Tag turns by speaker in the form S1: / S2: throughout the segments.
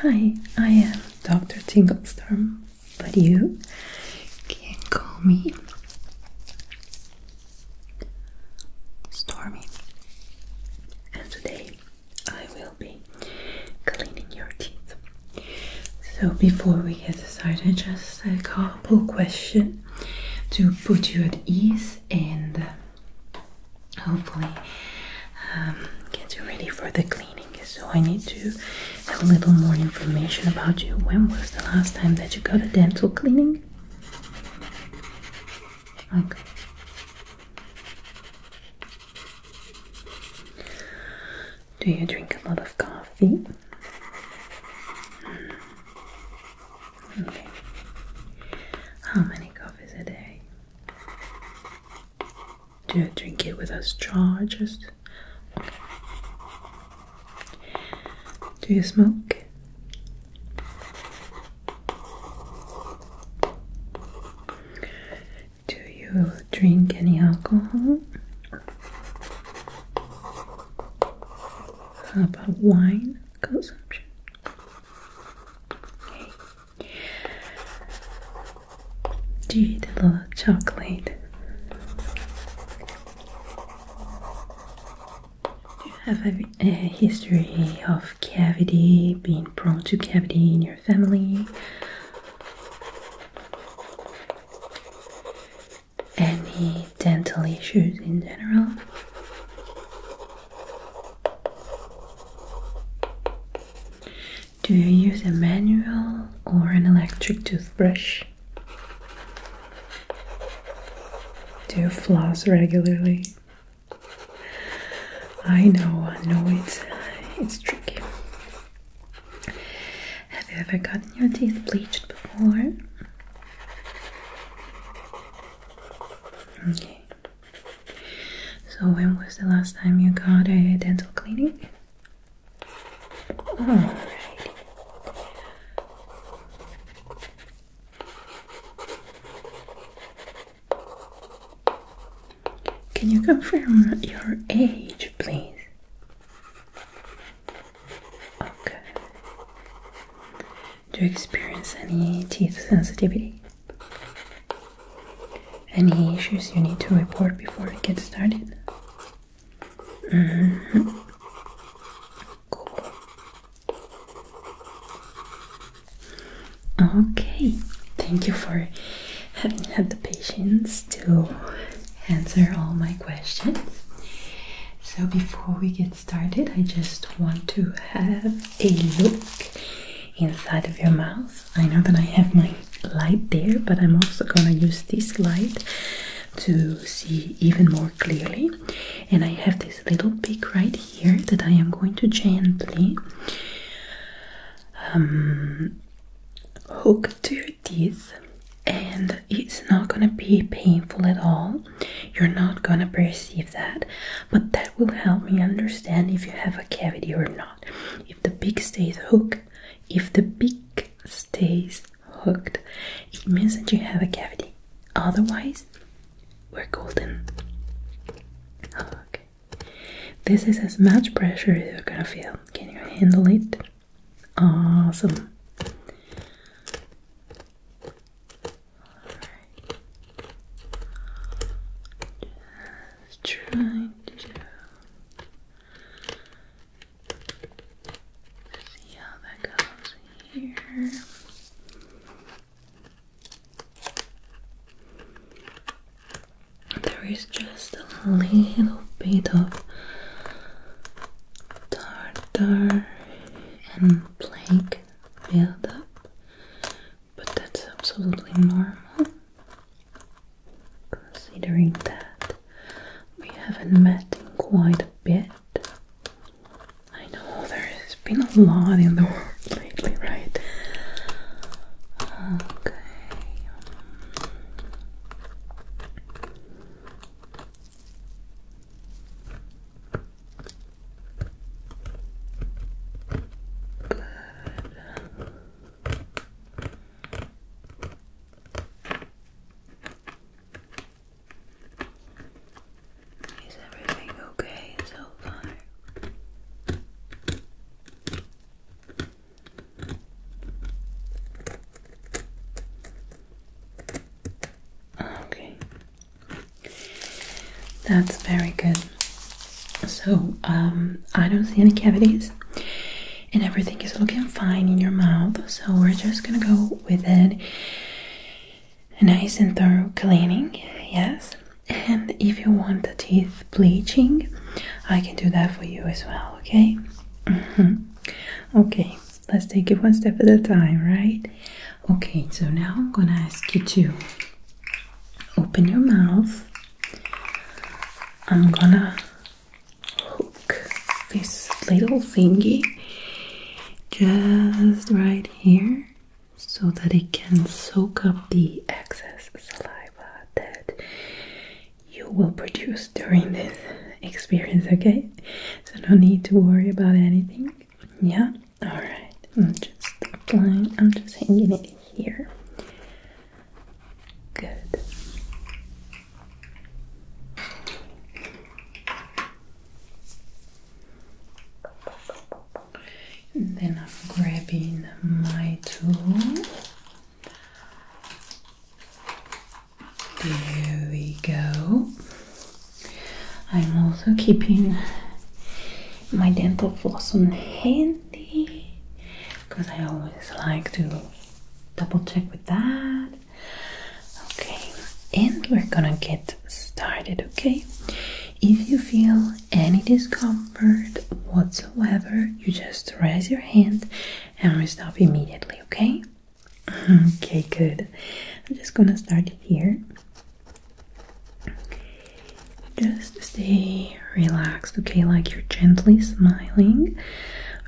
S1: Hi, I am Dr. Tinglestorm, but you can call me Stormy. And today I will be cleaning your teeth. So before we get started, just a couple questions to put you at ease and hopefully um, get you ready for the cleaning. So I need to have a little more information about you. When was the last time that you got a dental cleaning? Okay. Do you drink a lot of coffee? Hmm. Okay. How many coffees a day? Do not drink it with us charges. Just Do you smoke? Do you drink any alcohol? How about wine consumption? Do you eat chocolate? Do you have a history of cavity, being prone to cavity in your family? Any dental issues in general? Do you use a manual or an electric toothbrush? Do you floss regularly? I know, I know it's it's tricky. Have you ever gotten your teeth bleached before? Okay. So, when was the last time you got a dental cleaning? Alrighty. Can you confirm your age, please? Okay. Do you experience any teeth sensitivity? Any issues you need to report before we get started? Mm-hmm. Okay, thank you for having the patience to answer all my questions. So, before we get started, I just want to have a look inside of your mouth. I know that I have my light there, but I'm also gonna use this light to see even more clearly. And I have this little pick right here that I am going to gently um, hook to your teeth, and it's not gonna be painful at all. You're not gonna perceive that, but that will help me understand if you have a cavity or not. If the pig stays hooked, if the pig stays hooked, it means that you have a cavity. Otherwise, we're golden. Okay. This is as much pressure as you're gonna feel. Can you handle it? Awesome trying to see how that goes here. There is just a little bit of tartar and plague buildup, but that's absolutely normal. Considering that we haven't met in quite a bit. I know there's been a lot in the world lately, right? Okay. Good. Is everything okay so far? Okay. That's very good. So um, I don't see any cavities, and everything is looking fine in your mouth. So we're just gonna go with it. A nice and thorough cleaning, yes. And if you want the teeth bleaching, I can do that for you as well, okay? Mm-hmm. Okay, let's take it one step at a time, right? Okay, so now I'm gonna ask you to open your mouth I'm gonna hook this little thingy just right here so that it can soak up the excess saliva that you will produce during this experience, okay? So, no need to worry about anything. Yeah, all right. I'm just applying, I'm just hanging it here Good. And then I'm grabbing my tool. There we go. I'm also keeping my dental floss on handy because I always like to double check with that. Okay, and we're gonna get started, okay? If you feel any discomfort whatsoever, you just raise your hand and we stop immediately, okay? Okay, good. I'm just gonna start it here. Just stay relaxed, okay? Like you're gently smiling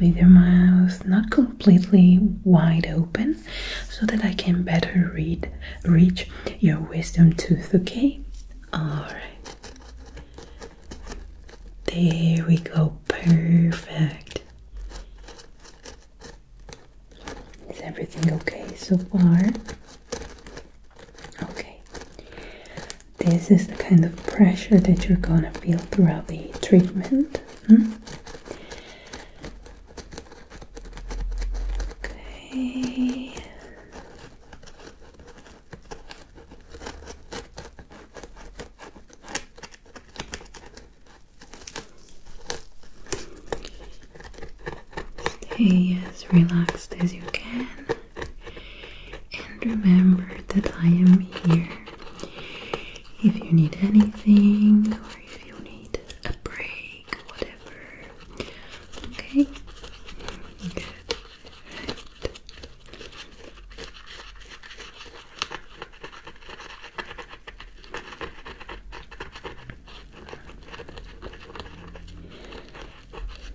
S1: with your mouth not completely wide open so that I can better read reach your wisdom tooth, okay? Alright. There we go, perfect. Is everything okay so far? Okay, this is the kind of pressure that you're gonna feel throughout the treatment. Hmm? Okay. Okay, as relaxed as you can and remember that I am here if you need anything or if you need a break, whatever. Okay? Good.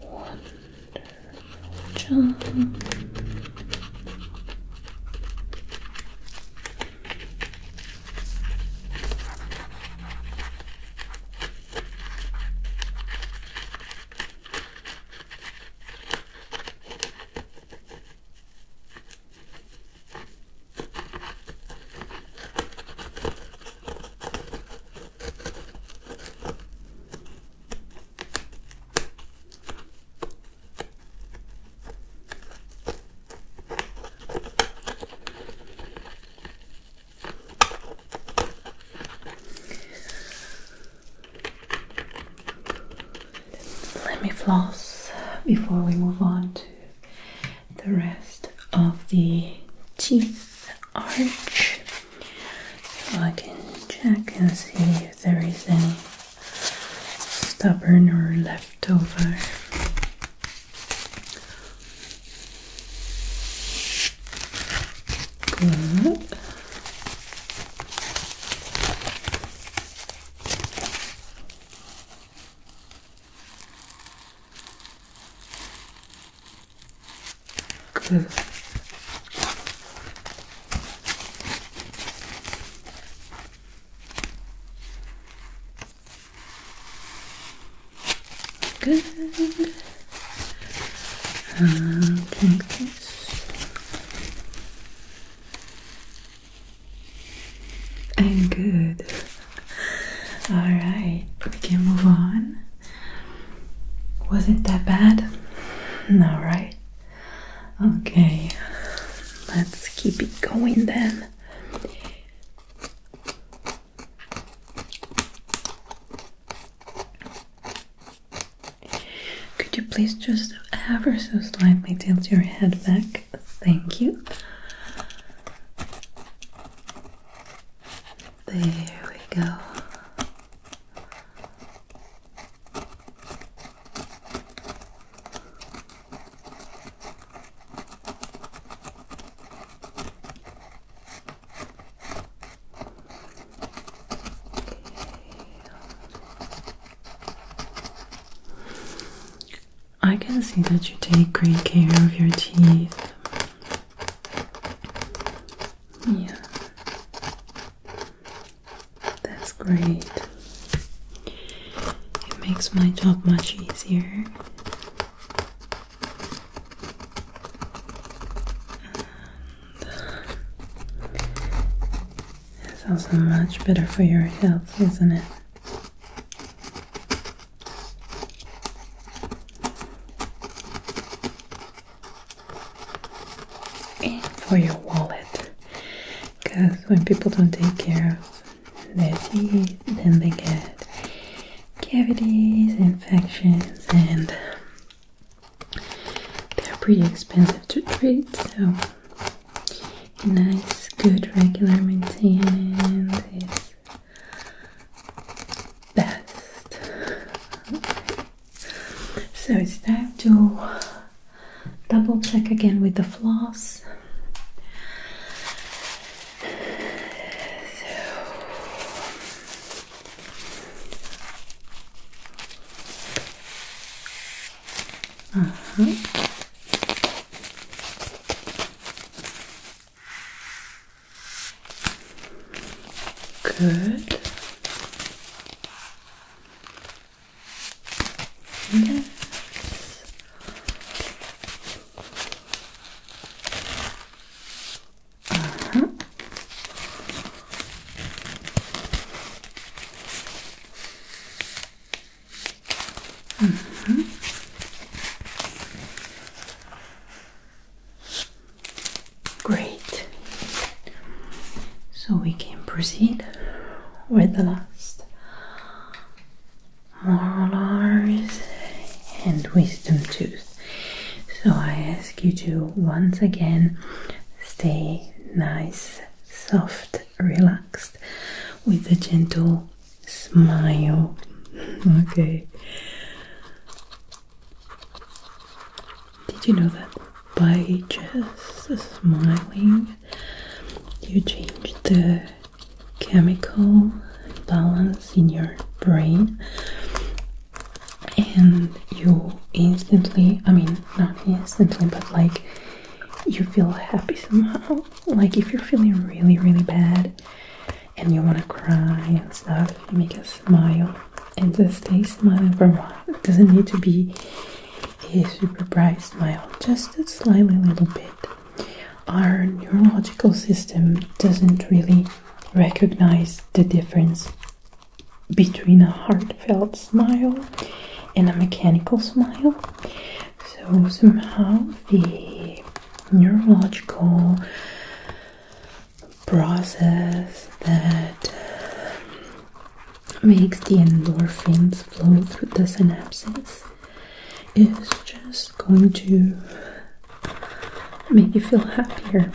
S1: Wonderful job. Let me floss before we move on to the rest of the teeth arch so I can check and see if there is any stubborn or left over. Good. Good. And like this. And good. All right, we can move on. Was it that bad? No, right? Okay, let's keep it going then. Could you please just ever so slightly tilt your head back? Thank you. There we go. I can see that you take great care of your teeth. Yeah, that's great. It makes my job much easier. And it's also much better for your health, isn't it? for your wallet because when people don't take care of their teeth then they get cavities infections and they're pretty expensive to treat so nice good regular maintenance is best so it's time to double check again with the floss. Uh -huh. Good. Yes. Uh-huh. Mm -hmm. Great. So we can proceed with the last molars and wisdom tooth. So I ask you to once again stay nice, soft, relaxed with a gentle smile. Okay. Did you know that by just smiling, you change the chemical balance in your brain and you instantly, I mean, not instantly, but like you feel happy somehow. Like if you're feeling really, really bad and you want to cry and stuff, you make a smile and just a smiling for a while. It doesn't need to be a super bright smile, just a slightly little bit. Our neurological system doesn't really recognize the difference between a heartfelt smile and a mechanical smile. So, somehow, the neurological process that um, makes the endorphins flow through the synapses is just going to make you feel happier.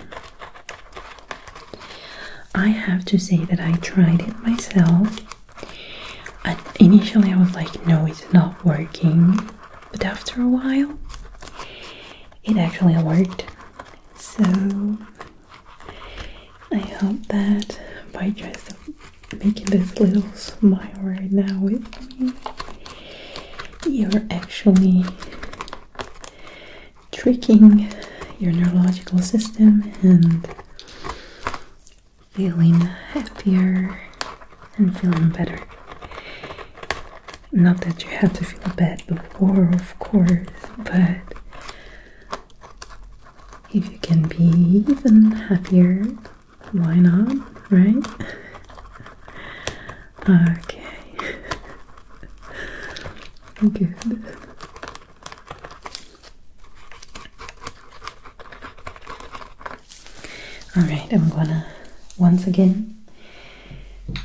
S1: I have to say that I tried it myself. And initially, I was like, no, it's not working. But after a while, it actually worked. So I hope that by just making this little smile right now with me, you're actually tricking your neurological system and feeling happier and feeling better. Not that you had to feel bad before, of course, but if you can be even happier, why not, right? okay. Good. Alright, I'm gonna once again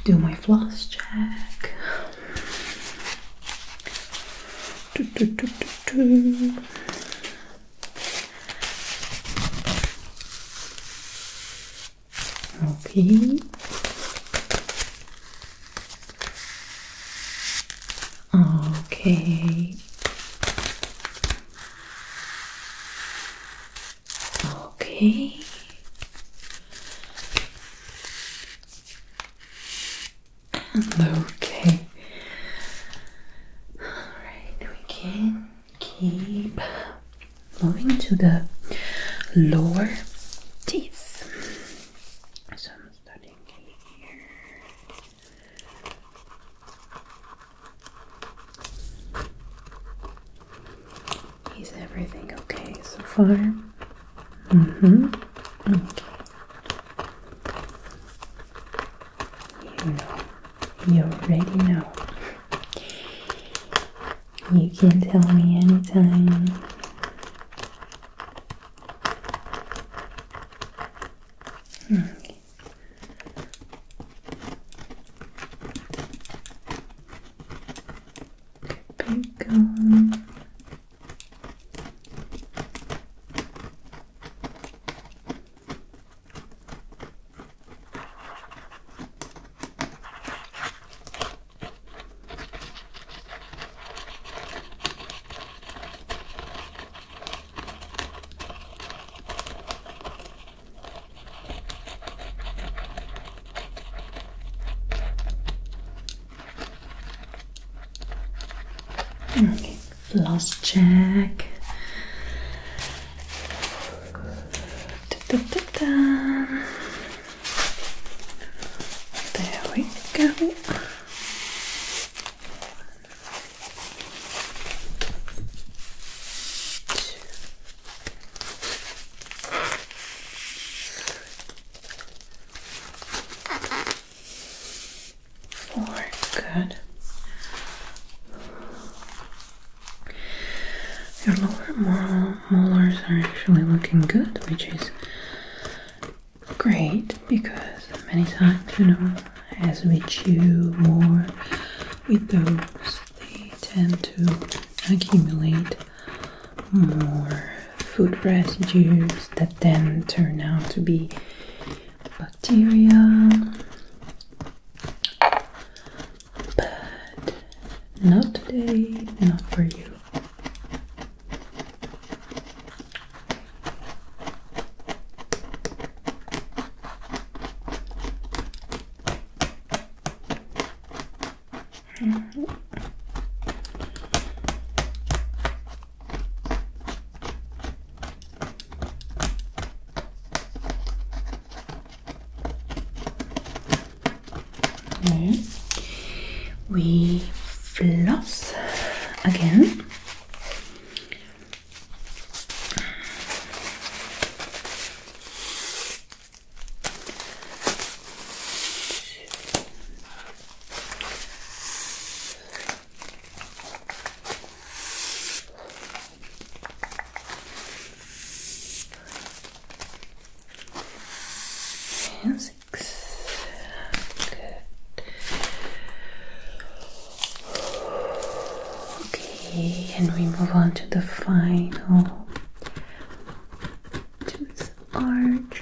S1: do my floss check. Okay. Okay. Okay okay. Alright, we can keep moving to the lower teeth. So I'm starting here. Is everything okay so far? Mm-hmm. Okay. You know, you already know. You can tell me anytime. Okay pick on Okay, last check. There we go. Four, good. Your lower molars are actually looking good, which is great because many times, you know, as we chew more with those, they tend to accumulate more food residues that then turn out to be bacteria. But not today, not for you. Okay. We floss again. And six. Good. Okay, and we move on to the final tooth arch.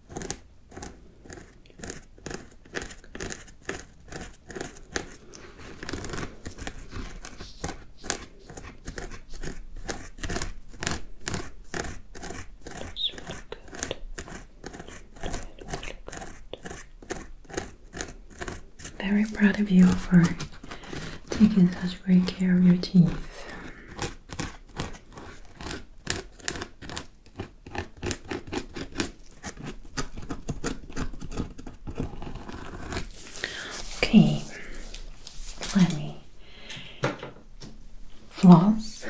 S1: Very proud of you for taking such great care of your teeth. Okay, let me floss.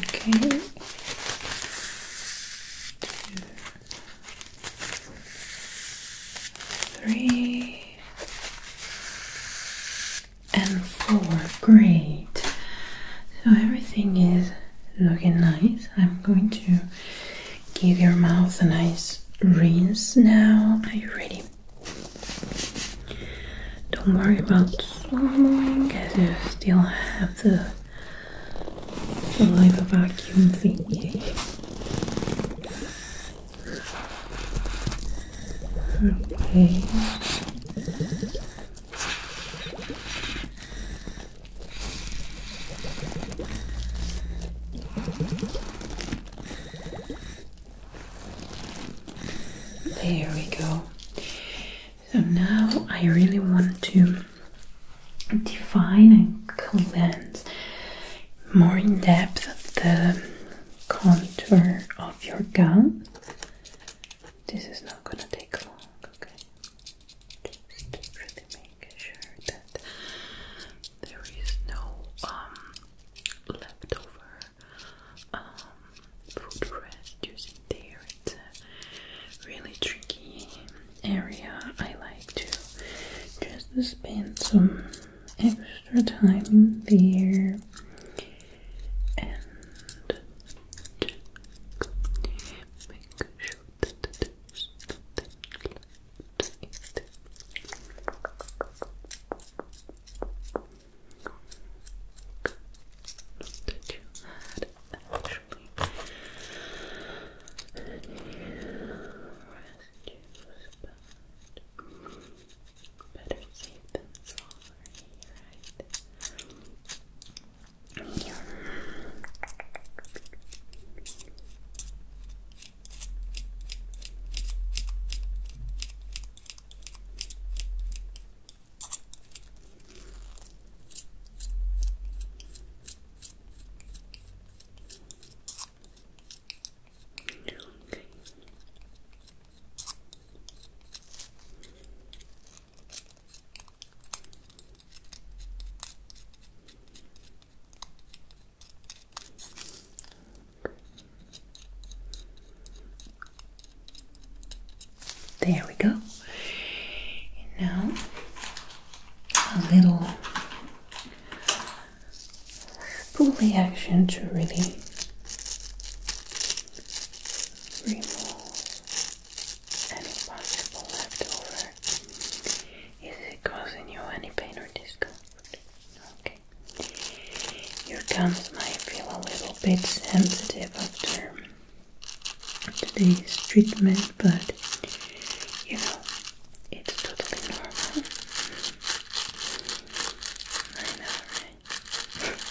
S1: okay three and four. Great. So everything is looking nice. I'm going to give your mouth a nice rinse now. Are you ready? Don't worry about swallowing because you still have the well, I have a vacuum thingy. Okay. There we go. So now I really want to define and cleanse more in depth the contour of your gum. This is not gonna take long, okay? Just really making sure that there is no um, leftover um, food rest there. It's uh, really tricky area, I like to just spend some extra time there and make sure that there's naturally. Better safe than sorry, right? There we go. now a little pulley action to really remove any possible leftover. Is it causing you any pain or discomfort? Okay. Your gums might feel a little bit sensitive after today's treatment but you know, it's totally normal. I know, right? Good job.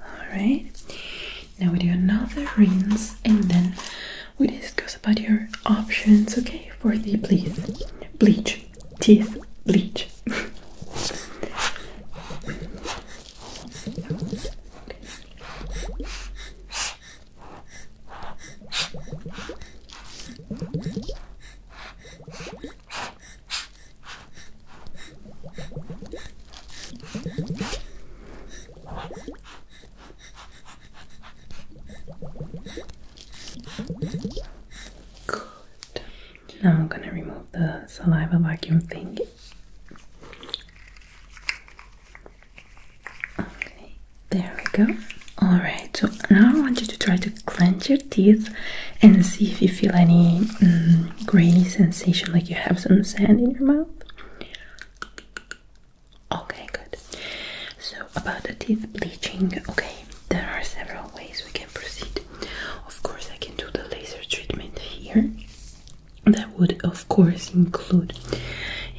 S1: Alright, now we do another rinse and then we discuss about your options, okay, for the please bleach, teeth bleach. Good. Now I'm gonna remove the saliva vacuum thing. Okay, there we go. Alright, so now I want you to try to clench your teeth and see if you feel any mm, sensation like you have some sand in your mouth. Okay, good. So, about the teeth bleaching, okay, there are several ways we can proceed. Of course, I can do the laser treatment here. That would, of course, include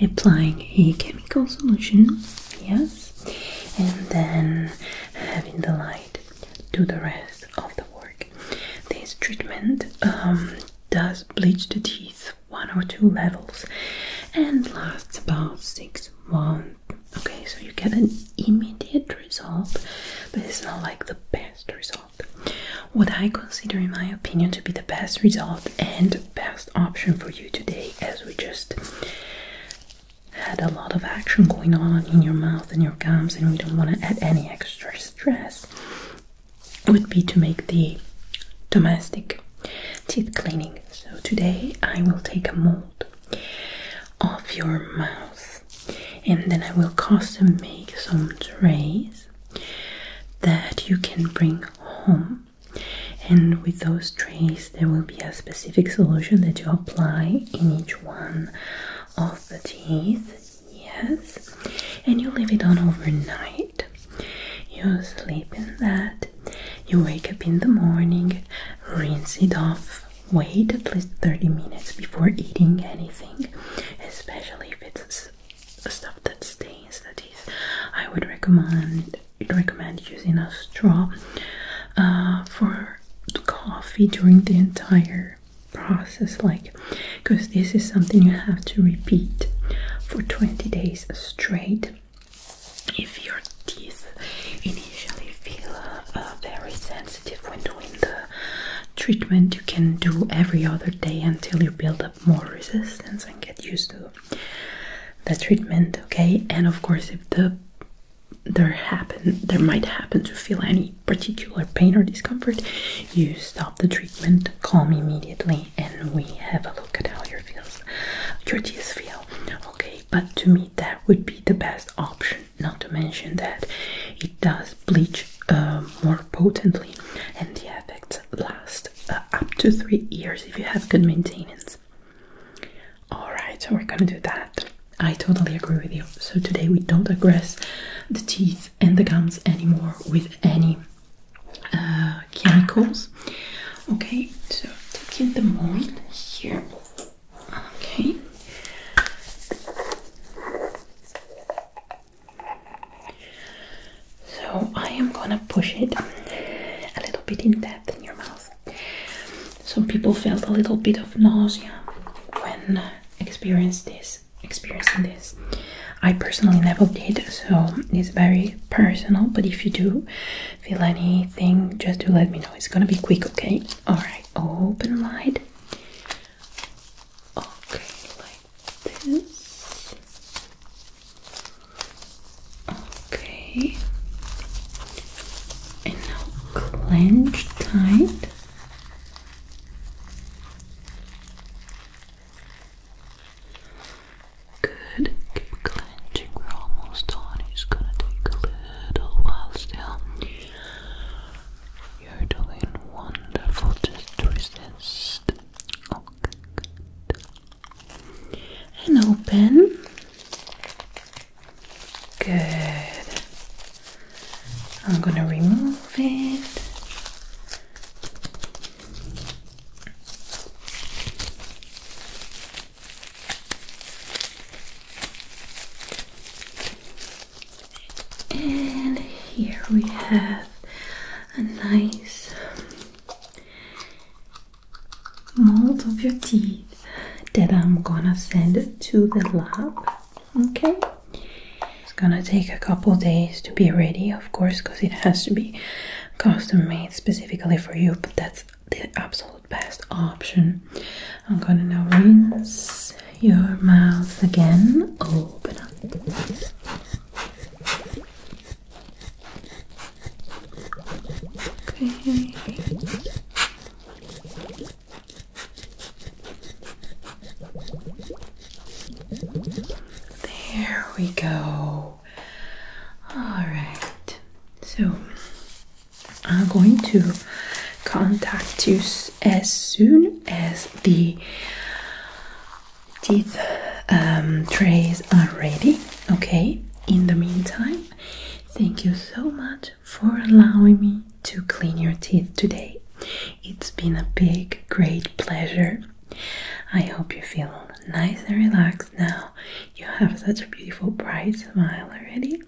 S1: applying a chemical solution, yes, and then having the light do the rest of the work this treatment um, does bleach the teeth one or two levels and lasts about six months. Okay, so you get an immediate result, but it's not like the best result. What I consider, in my opinion, to be the best result and best option for you today, as we just had a lot of action going on in your mouth and your gums, and we don't want to add any extra stress, would be to make the domestic teeth cleaning. So today I will take a mold of your mouth and then I will custom make some trays that you can bring home. And with those trays, there will be a specific solution that you apply in each one of the teeth Yes. And you leave it on overnight. You sleep in that. You wake up in the morning, rinse it off. Wait at least 30 minutes before eating anything, especially if it's stuff that stains That is, I would recommend recommend using a straw uh, for coffee during the entire process like because this is something you have to repeat for 20 days straight if your teeth initially feel uh, very sensitive when doing the treatment you can do every other day until you build up more resistance and get used to the treatment okay and of course if the there happen there might happen to feel any particular pain or discomfort, you stop the treatment, call me immediately, and we have a look at how your feels your teeth feel. Okay, but to me that would be the best option. Not to mention that it does bleach uh, more potently, and the effects last uh, up to three years if you have good maintenance. All right, so we're gonna do that. I totally agree with you. So today we don't aggress the teeth and the gums anymore with any uh, chemicals. Okay, so taking the mold here. Okay. So I am gonna push it a little bit in depth in your mouth. Some people felt a little bit of nausea when uh, experienced this experiencing this. I personally never did, so it's very personal. But if you do feel anything, just do let me know. It's gonna be quick, okay? Alright, open wide. Okay, like this. Okay. And now clench tight. Good. Keep clenching. We're almost done. It's gonna take a little while still. You're doing wonderful. Just resist. And open. Good. I'm gonna remove it. And here we have a nice mold of your teeth that I'm gonna send to the lab. Okay. It's gonna take a couple days to be ready, of course, because it has to be custom made specifically for you, but that's the absolute best option. I'm gonna now rinse your mouth again. Open up. Okay. There we go. Alright, so I'm going to contact you as soon as the teeth um, trays are ready. Okay, in the meantime, thank you so much for allowing me to clean your teeth today. It's been a big, great pleasure. I hope you feel nice and relaxed now. You have such a beautiful, bright smile already,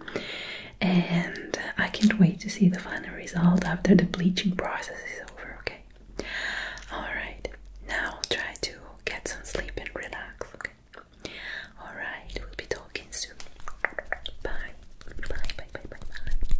S1: and I can't wait to see the final result after the bleaching process is over. Okay, all right, now try to get some sleep and relax. Okay. All right, we'll be talking soon. Bye. Bye, bye, bye, bye, bye.